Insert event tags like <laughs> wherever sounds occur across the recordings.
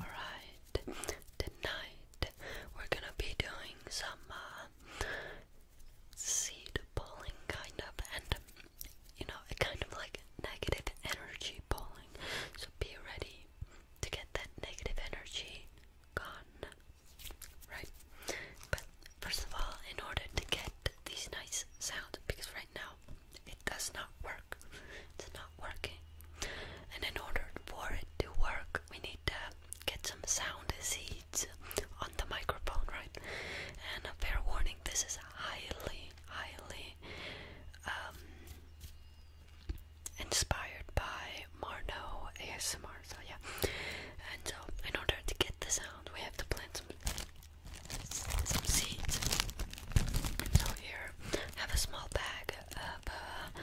Alright, tonight we're gonna be doing some uh, seed pulling, kind of, and you know, a kind of like negative energy pulling. So be ready to get that negative energy gone, right? But first of all, in order to get these nice sounds, because right right It does not work. It's not working. And in order for it to work, we need to get some sound seeds on the microphone, right? And a fair warning this is highly, highly um, inspired by Marno ASMR. So, yeah. And so, in order to get the sound, we have to plant some some seeds. So here, have a small bag of uh,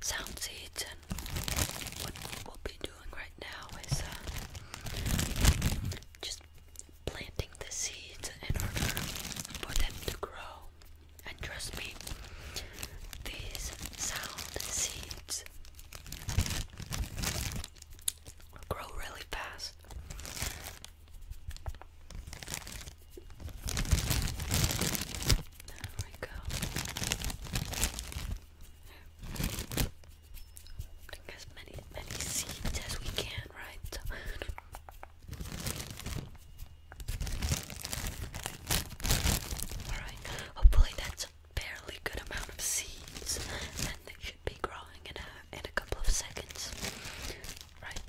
sound seeds, and what we'll be doing right now is uh, just planting the seeds in order for them to grow. And trust me, these sound seeds grow really fast. There we go. Bring as many many seeds as we can, right? Alright, hopefully that's a fairly good amount of seeds and they should be growing in in a couple of seconds. Right.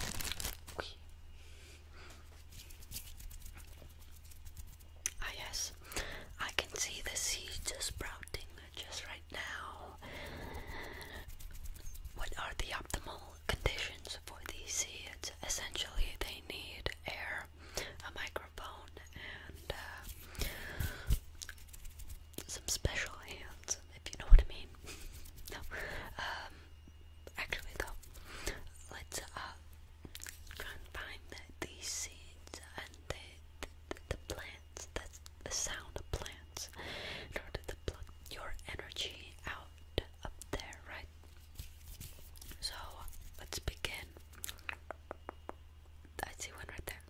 Ah, yes, I can see the seeds sprouting just right now. What are the optimal conditions for these seeds? Essentially, they need air, a microphone, and uh, some special hands, if you know what I mean. <laughs> no, um, actually though, let's uh try find these seeds and the the, the plants. That's the sound of plants in order to plug your energy out up there, right? So let's begin. I see one right there.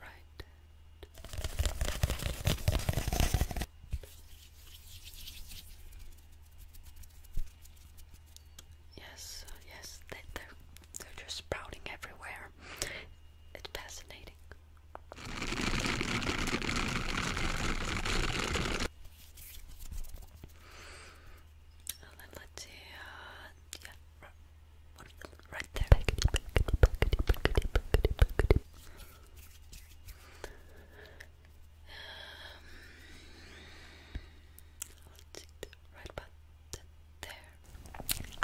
Right. Yes, uh, yes, they, they're, they're just sprouting everywhere. It's fascinating let's see, yeah, right there. Um, right there.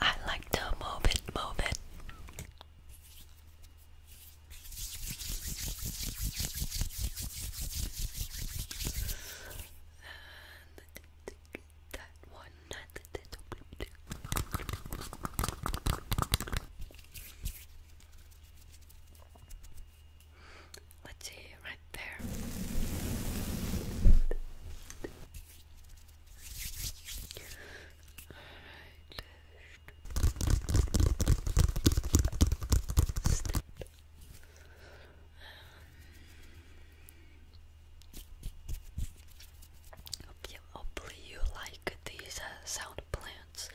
I like to move it, move it that one, not the little Let's see, right there step. Um, you like these uh, sound plants.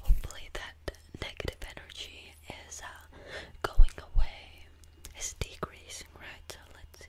Hopefully, that negative energy is uh, going away, it's decreasing, right? So, let's see.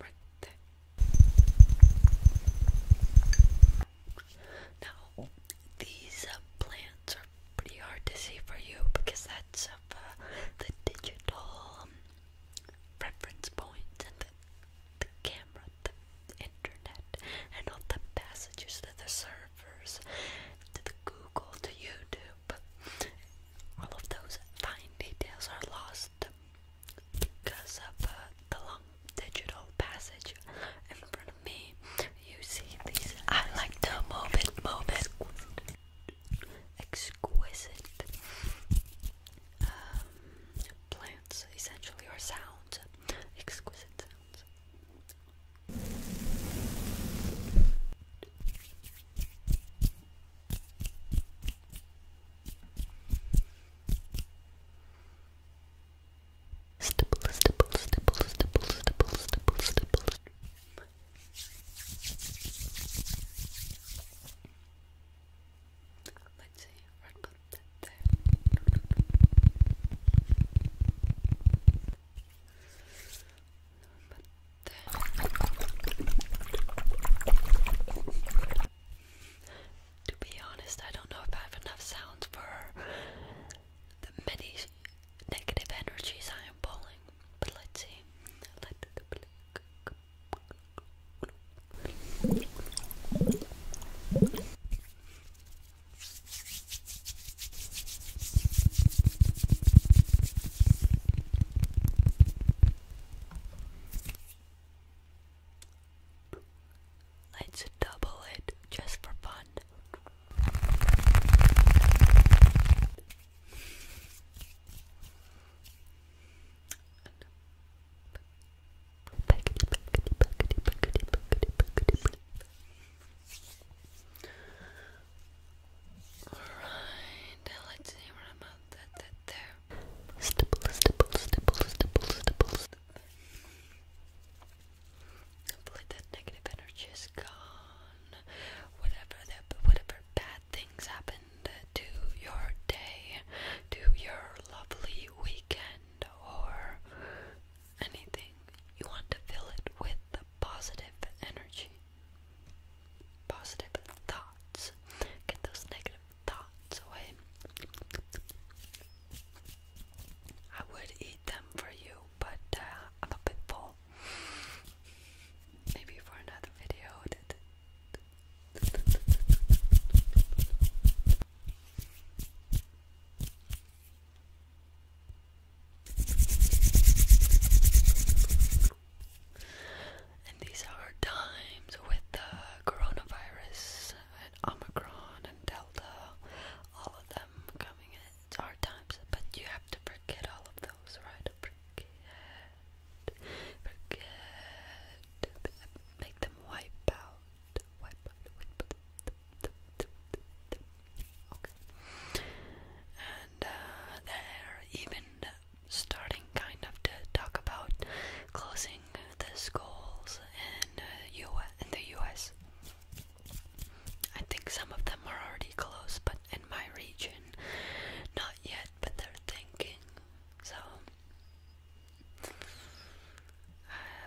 right these uh, plants are pretty hard to see for you because that's uh, the digital um, reference and the camera, the internet, and all the passages to the servers, to the Google, to YouTube all of those fine details are lost because of uh, the long digital passage in front of me. You see these. I like to move it, move it. Exquisite um, plants, essentially, are sounds. Exquisite sounds. Stipple, stipple, stipple, stipple, stipple, stipple, stipple. Let's see, I'll there to be honest, I don't know if I have enough sounds for the many negative energies I am pulling. But let's see. Let's double it just for fun. Alright, let's see about that, there. Stipple, stipple, stipple, stipple, stipple, Hopefully that negative energy is gone. Whatever that, whatever bad things happened to your day, to your lovely weekend, or anything. You want to fill it with the positive energy, positive thoughts. Get those negative thoughts away. I would eat them for you, but uh, I'm a bit full. Maybe for another video. <laughs> And these are times with the coronavirus and Omicron and Delta, all of them coming in. It's hard times, but you have to forget all of those, right? Forget, forget, make them wipe out okay, and uh, they're even starting kind of to talk about closing the schools in, uh, in the US. I think some of them are already closed, but in my region, not yet, but they're thinking. So, uh,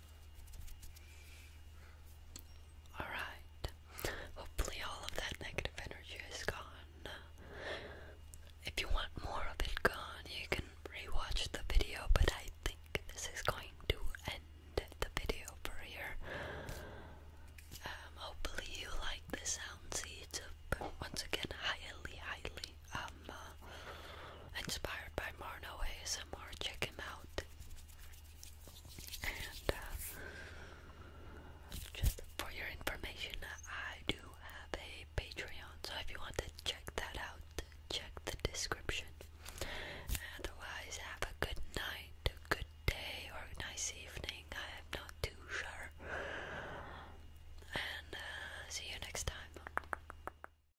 Alright. Hopefully, all of that negative energy is gone. If you want more of it gone, you can rewatch the video, but I think this is going to end the video for here. Um, hopefully, you like the sound seeds. Once again, highly, highly um, uh, inspired by Marno ASMR. Check him out. And uh, just for your information, I do have a Patreon, so if you want to check that out, check the description. Otherwise, have a good night, a good day, or nice evening. I am not too sure. And uh, see you next time.